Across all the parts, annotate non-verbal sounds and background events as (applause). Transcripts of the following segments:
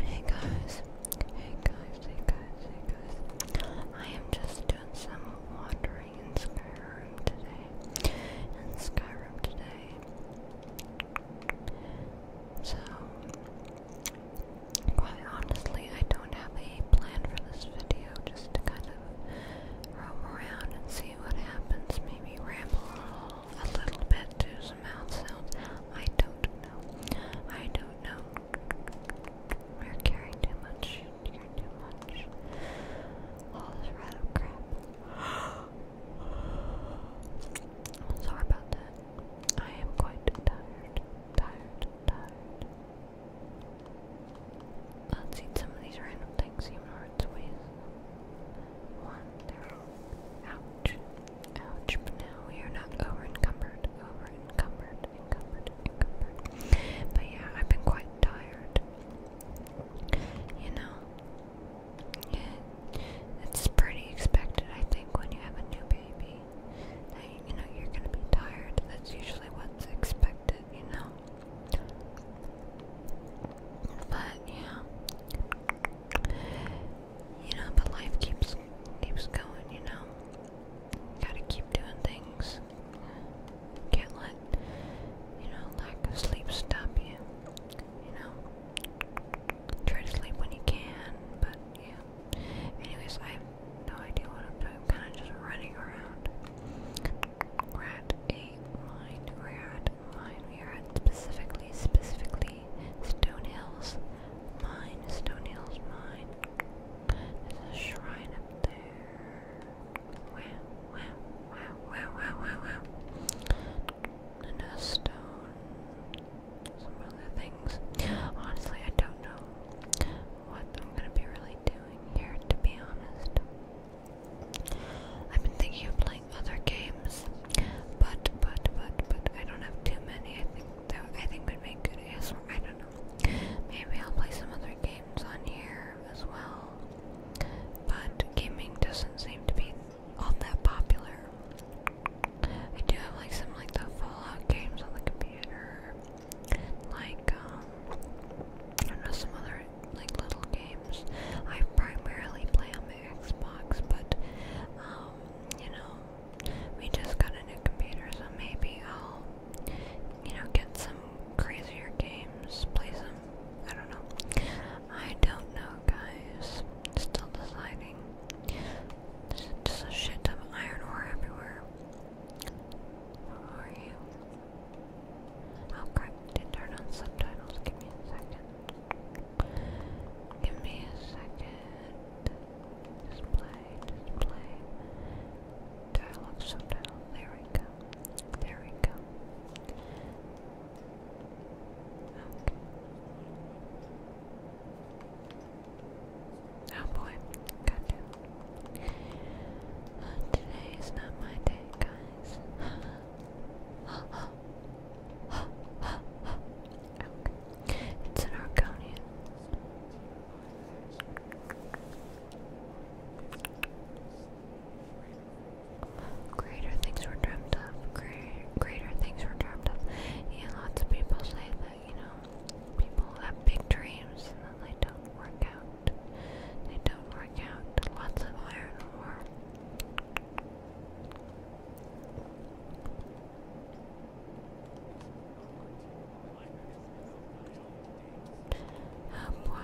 Hey guys, hey guys, hey guys, hey guys. I am just doing some wandering in Skyrim today. In Skyrim today. So, quite honestly, I don't have a plan for this video, just to kind of roam around and see what happens. Maybe ramble a little bit to some mouth sounds. I don't know. I don't know. We're carrying too much. You're too much. All this rat crap. am (gasps) sorry about that. I am quite tired. Tired. Tired. Let's eat some of these random things, even though it's waste. One, Ouch. Ouch, but now we are not over encumbered, over encumbered, encumbered, encumbered. But yeah, I've been quite tired. You know, yeah, it's pretty expected, I think, when you have a new baby. That, you know, you're gonna be tired. That's usually what's expected, you know? But yeah. You know, but life keeps keeps going, you know. Gotta keep doing things. Can't let, you know, lack of sleep stop you. You know. Try to sleep when you can, but yeah. Anyways, I have no idea what I'm doing. I'm kinda just running around. We're at a mine. We're at a We are at specifically, specifically Valley, Stone Hills Mine, Stone Hills Mine. There's a shrine up there. Wow, wow, wow, wow, wow, wow, wow. And a stone. Some other things. Honestly, I don't know what I'm gonna be really doing here, to be honest. I've been thinking of playing other games, but, but, but, but I don't have too many. I think that I think would make good ASMR. I don't know. Maybe I'll play some other games on here as well. But gaming doesn't seem to be all that popular. I do have like some like the Fallout games on the computer, like um, I don't know some other like little games. I primarily play on my Xbox, but um, you know, we just got a new computer, so maybe I'll, you know, get some crazier games, play some. I don't know. I don't know, guys. Still deciding. just a shit ton of iron ore everywhere. Where are you? Oh crap, did turn on subtitles. Give me a second. Give me a second. Display, display. Dialogue subtitle. There we go. There we go. Okay. Oh boy, goddamn. Uh, today is not my day, guys. It's an Arconian. Greater things were dreamt of. Greater, things were dreamt of. Yeah, lots of people say that, you know, people have big dreams and they don't work out. They don't work out. Lots of iron ore. Oh boy.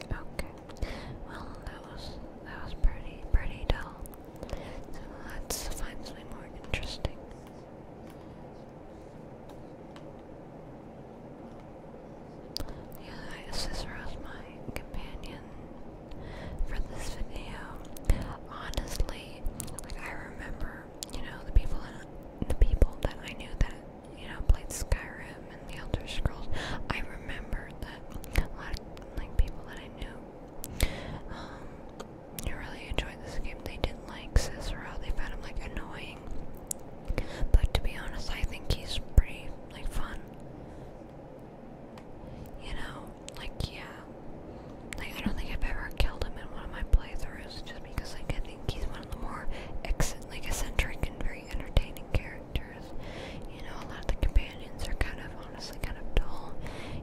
Okay. Well, that was that was pretty pretty dull. So let's find something more interesting. Yeah, Cicero's my companion for this video. Honestly, really like I remember, you know, the people in, the people that I knew that you know played Skyrim and the Elder Scrolls. I remember that a lot of like people that I knew um, really enjoyed this game. They didn't like Cicero. They found him like annoying. But to be honest, I think he's pretty like fun. You know, like, yeah. Like, I don't think I've ever killed him in one of my playthroughs just because, like, I think he's one of the more ex like eccentric and very entertaining characters. You know, a lot of the companions are kind of, honestly, kind of dull.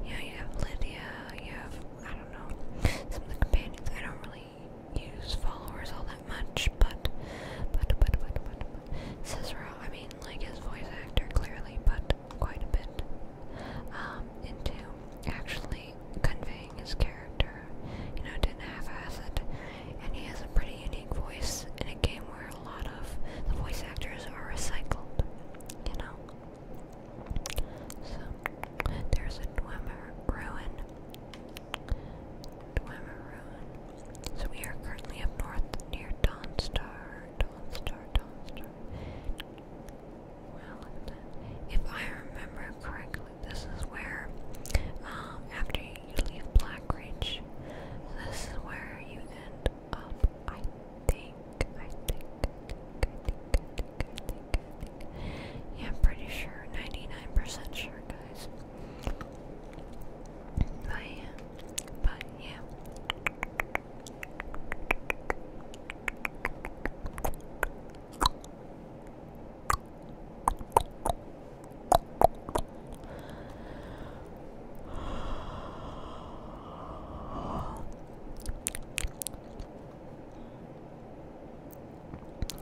You know, you have Lydia, you have, I don't know, some of the companions. I don't really use followers all that much, but, but, but, but, but, but, Cicero, I mean, like, his voice actor, clearly, but quite a bit um, into actually conveying his character. You know, didn't half-ass it, and he has a pretty unique voice in a game where a lot of the voice actors are recycled. You know, so there's a Dwemer ruin. Dwemer ruin. So we are currently up north near Dawnstar. Dawnstar. Dawnstar. Wellington. If I remember correctly, this is where, um, after you leave Blackridge, this is where you end up. I think, I think, I think, I think, I think, I think, Yeah, am pretty sure, 99% sure, guys. But but yeah.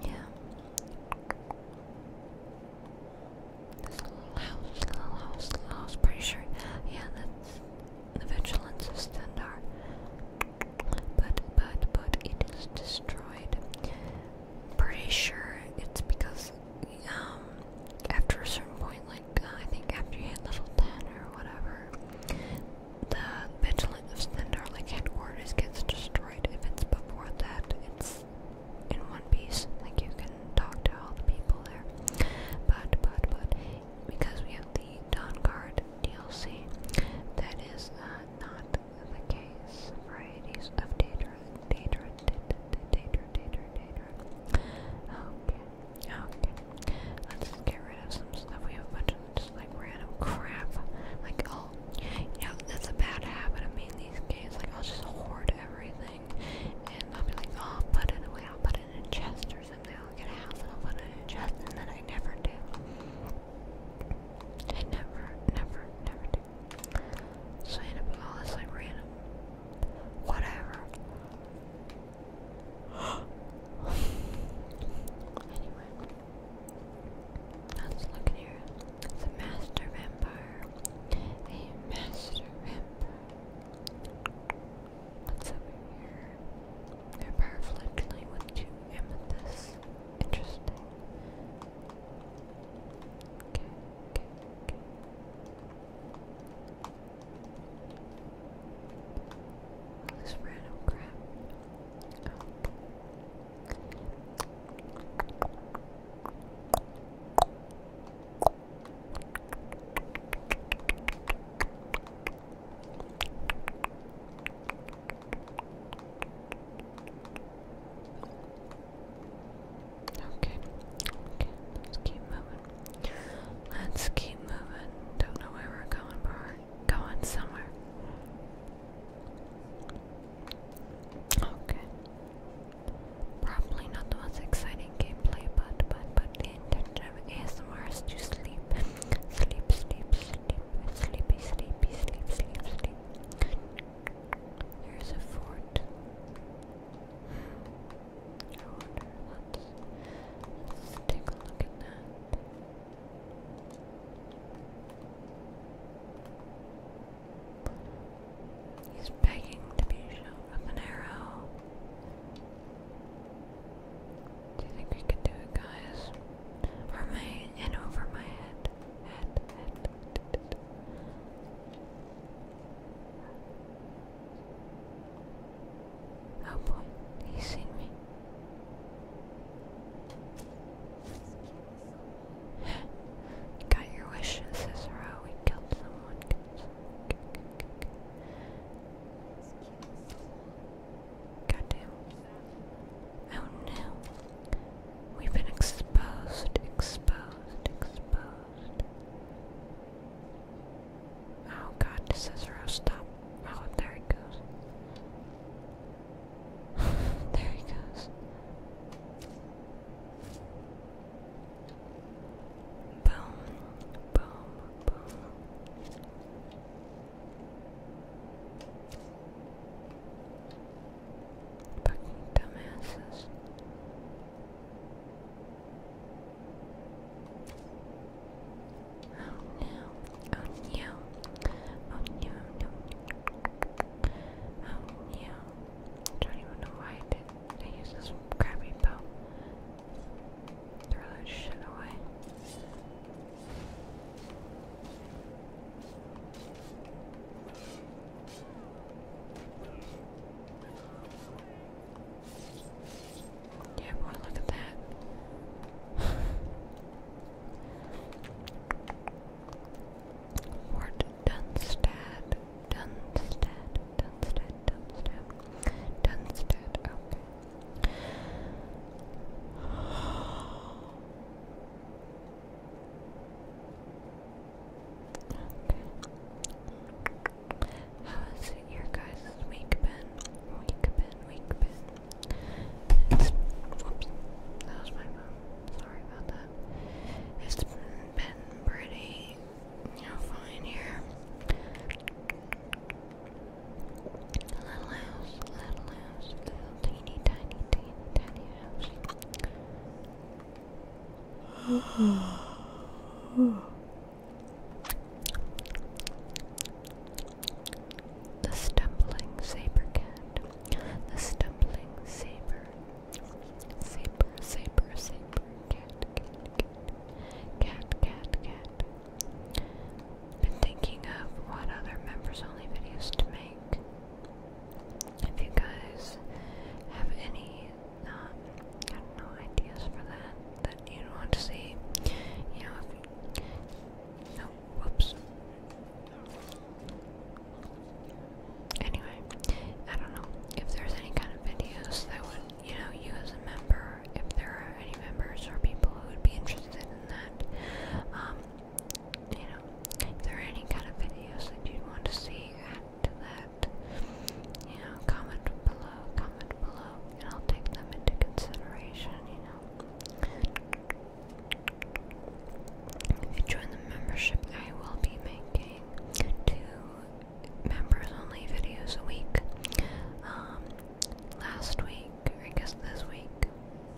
Yeah. This little house, little Yeah, that's the vigilance standard, but but but it is destroyed. Pretty sure it's because um after a certain point, like uh, I think after you hit level ten or whatever, the vigilance of standard like headquarters gets destroyed. If it's before that, it's in one piece. Like you can talk to all the people there, but but but because we have the Dawn Guard DLC. That is uh, not the case. Varieties of Daedra, Daedra, Daedra, Daedra, Daedra. Okay, okay. Let's get rid of some stuff. We have a bunch of just like random crap. Like, oh, you know, that's a bad habit of me these games. Like, I'll just hoard everything and I'll be like, oh, I'll put it away, I'll put it in a chest or someday I'll get a house and I'll put it in chest, and then I never do. I never, never, never do. So I end up with all this like random. Whatever. (gasps) anyway. Let's look here. It's a master vampire. A master vampire. That's over here? They're power fledgling with two Interesting. Okay, okay, okay. this random crap. Oh. Okay. Let's keep moving. Let's keep moving. Don't know where we're going, but going somewhere. Okay. Probably not the most exciting gameplay, but but but the intention of ASMR is to sleep. Sleep, sleep, sleep, sleepy, sleepy, sleep, sleep, sleep. There's a fort. I wonder, let let's take a look at that. He's begging to be shot with an arrow. Do you think we can do it, guys? Or my and over my head, Oh boy, he's seen me. (gasps) Got your wish, Cicero. We Killed someone. Goddamn. Oh no. We've been exposed, exposed, exposed. Oh god, this stop. Oh, there it goes. (sighs) there it goes. Boom, boom, boom. Fucking dumbasses. Oh no, oh no, oh no, oh no. don't even know why I did. I used this crappy bow. Throw that shit away. Yeah, boy, look at that. (laughs) Dunstad, Dunstad, Dunstad, Dunstad, Dunstad, okay. How has your guys' week been? Week been, week been. that was my phone. Sorry about that. It's been pretty, fine here. A little house, little house, little teeny tiny, teeny tiny house. the stumbling saber cat. The stumbling saber. Saber, saber, saber, cat. Cat, cat, cat. Been thinking of what other members only videos to make. If you guys have any, um, I don't ideas for that that you want to see, you know, no, whoops. Anyway, I don't know if there's any kind of videos that would, you know, you as a member, if there are any members or people who would be interested that, um, you know, there any kind of videos that you'd want to see, add to that, you know, comment below, comment below, and I'll take them into consideration, you know. If you join the membership, I will be making two members only videos a week. Um, last week, I guess this week,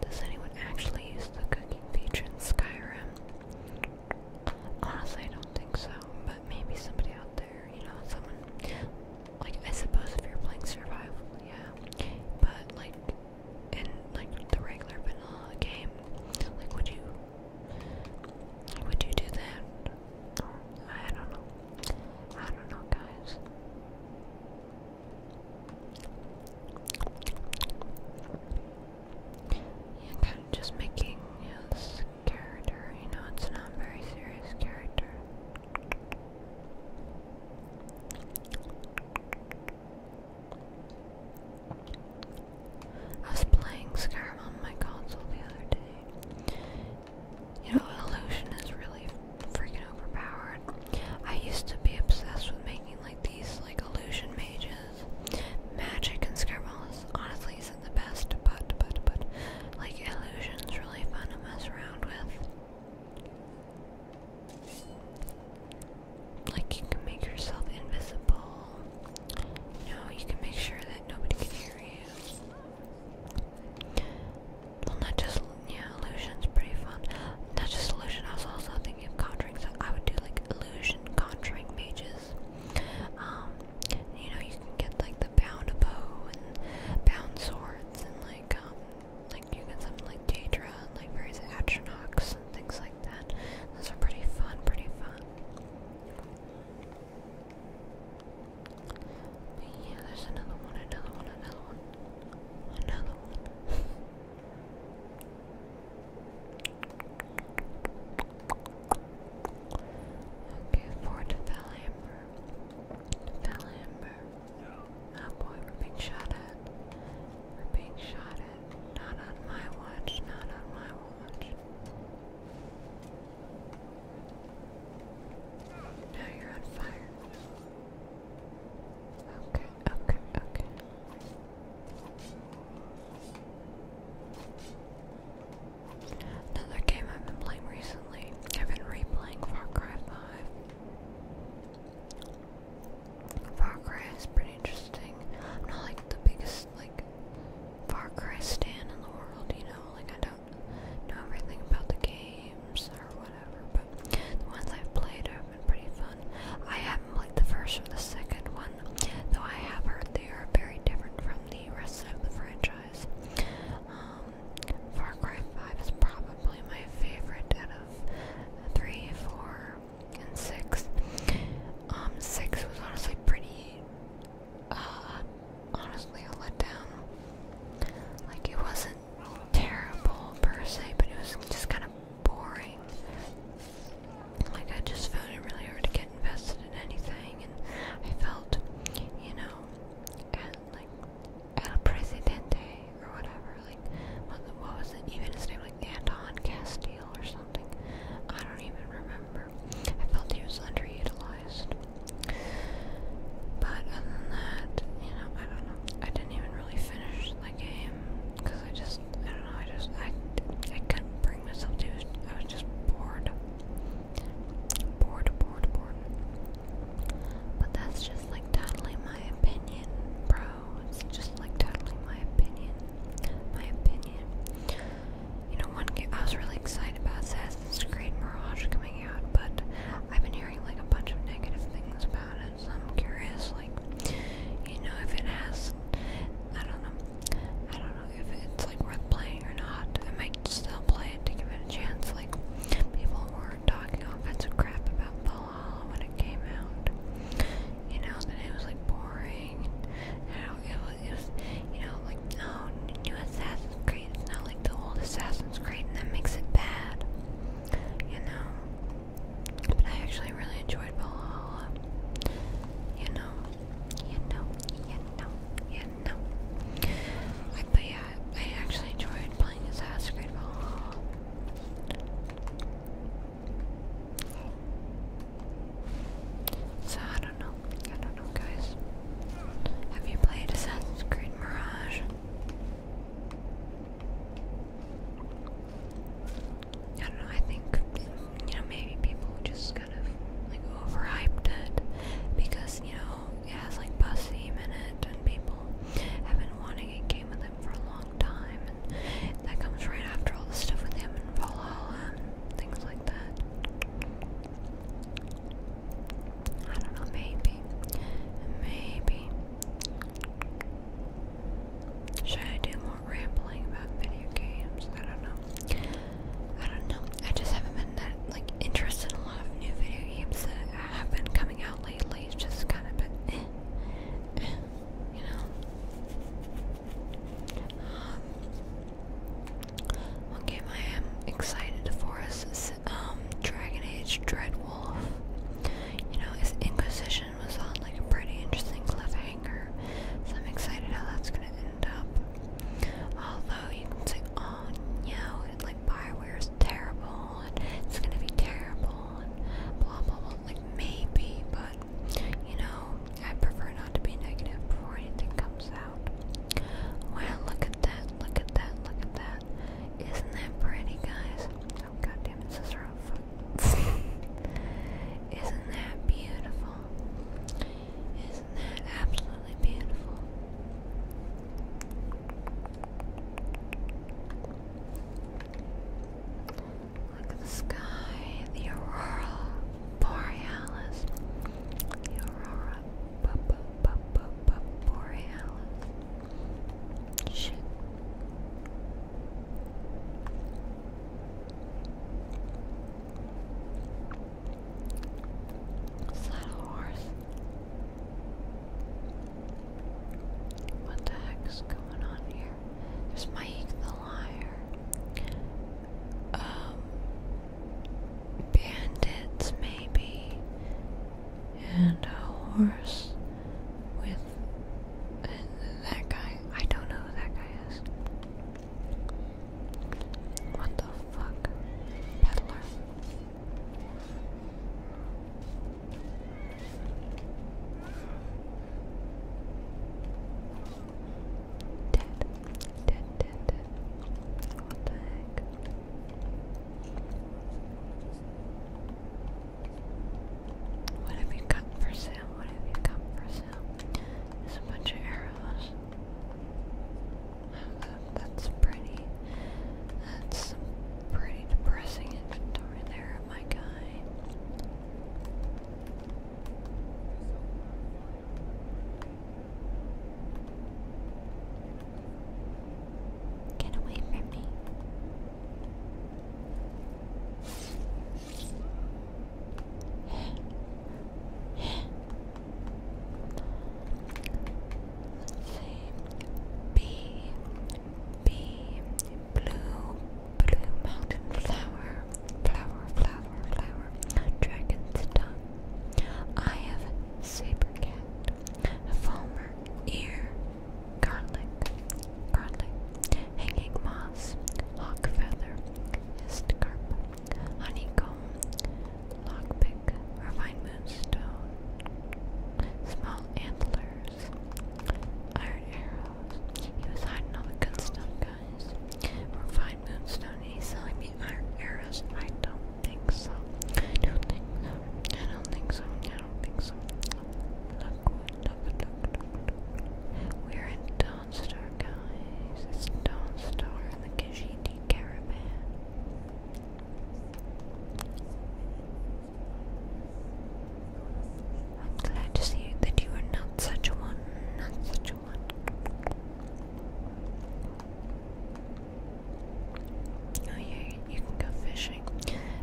Does anyone actually use the cooking feature in Skyrim? Honestly, I don't think so, but maybe somebody out there, you know, someone. Like, I suppose if you're playing survival, yeah. But, like, in like the regular vanilla game, like, would you. Would you do that? I don't know. I don't know, guys just making you character, you know, it's not a very serious character. I was playing Skyrim on my console the other day, you know, illusion is really freaking overpowered. I used to be obsessed with making like these like illusion mages. Magic and Scribbles honestly isn't the best, but but but like illusion's really fun to mess around with. Like you can make yourself invisible. no, you can make sure that nobody can hear you. Well, not just yeah, illusion's pretty fun. Not just illusion. I was also thinking of conjuring, so I would do like illusion conjuring pages. Um, you know, you can get like the bound bow and bound swords, and like um, like you can summon like Daedra and like various Atronachs and things like that. Those are pretty fun. Pretty fun. But yeah, there's another one, another one, another one, another one. Okay, Fort Valamber. Valamber. Oh boy, we being shot at. we being shot at. Not on my watch, not on my watch. Now you're on fire. Okay, okay, okay. Another game I've been playing recently. I've been replaying Far Cry 5. Far Cry is pretty interesting. I'm not like the biggest like Far Cry stan in the world, you know, like I don't know everything about the games or whatever, but the ones I've played have been pretty fun. I haven't played the first or the second one, though I have heard they are very different from the rest of the franchise. Um, Far Cry 5 is probably my favorite out of 3, 4, and 6. Um, 6 was honestly pretty, uh, honestly a letdown. Like, it wasn't weren't terrible per se, but it was just kind of boring. Like I just found it really hard to get invested in anything, and I felt, you know, and like El Presidente or whatever. Like what, what was it? Even his name, like Anton Castile or something. I don't even remember. I felt he was underutilized. But other than that, you know, I don't know. I didn't didn't even really finish the game because I just, I don't know, I just, I, I couldn't bring myself to. I was just bored, bored, bored, bored. But that's just like totally my opinion, bro. It's just like totally my opinion, my opinion. You know, one game I was really excited about Assassin's Creed Mirage coming out, but I've been hearing like a bunch of negative things about it, so I'm curious, like, you know, if it has, I don't know, I don't know if it's like worth playing or not. I might still play it to give it a chance. Like, people were talking offensive crap about Valhalla when it came out. You know that it was like boring. You know it was, it was you know like no oh, new Assassin's Creed. It's not like the old Assassin's Creed, and that makes it bad you know. But I actually really enjoyed Valhalla. You know, you know, you know, you know. but yeah, I actually enjoyed playing Assassin's Creed Valhalla. So I don't know. I don't know, guys. Have you played Assassin's Creed Mirage? I don't know, I think, you know, maybe people just kind of, like, overhyped it because, you know, it has, like, bus theme in it and people have been wanting a game with him for a long time and that comes right after all the stuff with him and Valhalla and things like that. I don't know, maybe, maybe, should I do more rambling about video games? I don't know. I don't know. I just haven't been that like interested in a lot of new video games that have been coming out lately. It's just kind of been, eh, eh, you know. Um, one game I am excited for is um, Dragon Age Dreadwolf. You know, his Inquisition was on like a pretty interesting cliffhanger, so I'm excited how that's gonna end up. Although you can say, oh no, and like Bioware is terrible, and it's gonna be terrible, and blah blah blah. Like maybe, but you know, I prefer not to be negative before anything comes out. Wow, look at that, look at that, look at that. Isn't that pretty, guys? god damn it, Cicero (laughs) Isn't that beautiful? Isn't that absolutely beautiful? Look at the sky, the aurora borealis. The aurora b -b -b borealis. Shit. What the heck's going on here? There's Mike the liar. Um bandits maybe and a horse with that guy. I don't know who that guy is. What the fuck? Peddler. Dead. Dead, dead, dead. What the heck? What have you got for sale? What have you got for sale? There's a bunch of arrows. Oh, that's pretty. That's pretty depressing inventory there, my guy. Get away from me. B, blue, blue mountain flower, flower, flower, flower, dragon's I have a saber cat, a Falmer ear, garlic, garlic, hanging moss, hawk feather, hist carp, honeycomb, lockpick, refined moonstone, small antlers, iron arrows. He was hiding all the good stuff, guys. Refined moonstone, he's selling me iron arrows. I don't think so. I don't think so. I don't think so. We're in Dawnstar, guys. It's Dawnstar in the Kashidi Caravan. I'm glad to see that you are not such a one, not such a one. Oh yeah, you can go fishing.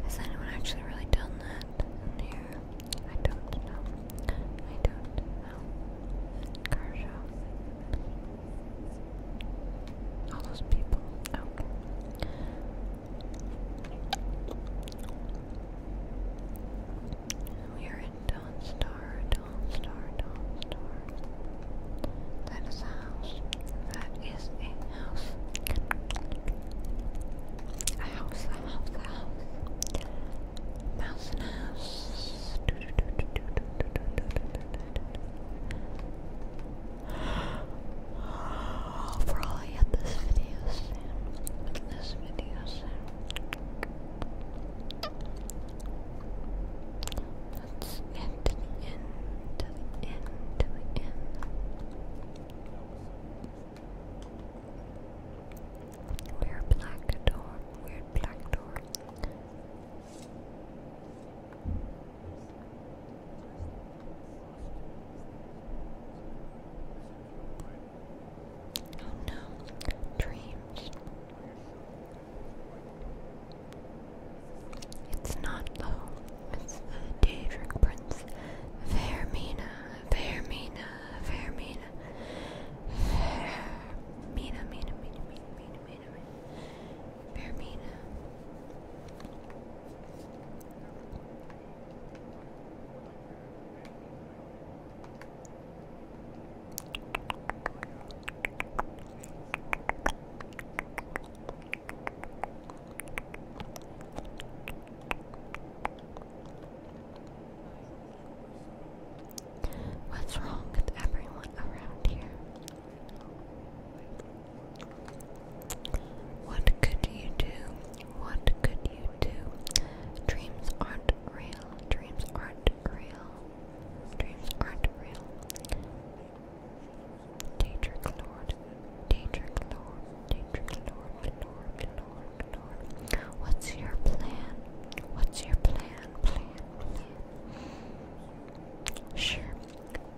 Has anyone actually really done that here? I don't know. I don't know. Car show. All those people. Okay. We are in Dawn Star, Dawn That is a house. That is a a house, a house, a house. Mouse and house. I'll probably end this video soon. This video soon. Let's end to the end, to the end, to the end. Weird black door. Weird black door. Oh no, dreams. It's not low. It's the Daedric Prince. Vermina, Vermina, Vermina. Vermina, Mina, Mina, Mina, Mina, Mina, Mina. Vermina. What's wrong with everyone around here? What could you do? What could you do? Dreams aren't real. Dreams aren't real. Dreams aren't real. Daedric Lord Daedric Lord, Daedric Lord, Lord, Lord, Lord. What's your plan? What's your plan? Plan, plan. Sure,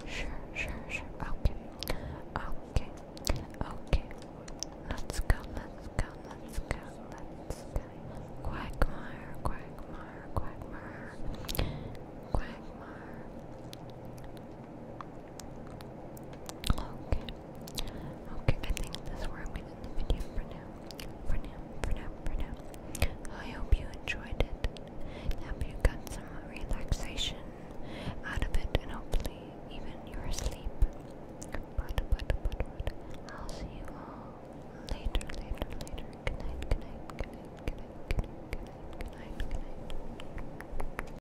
sure, sure, sure. Okay, okay, okay. Let's go, let's go, let's go, let's go. Quagmire, quagmire, quagmire. Quagmire. Okay. Okay, I think that's where I'm going to end the video for now. For now, for now, for now. I hope you enjoyed it. I hope you got some relaxation out of it and hopefully even you're asleep. But, but, but, I'll see you all later, later, later. good night, good night, good night, good night, good night, good night, good night.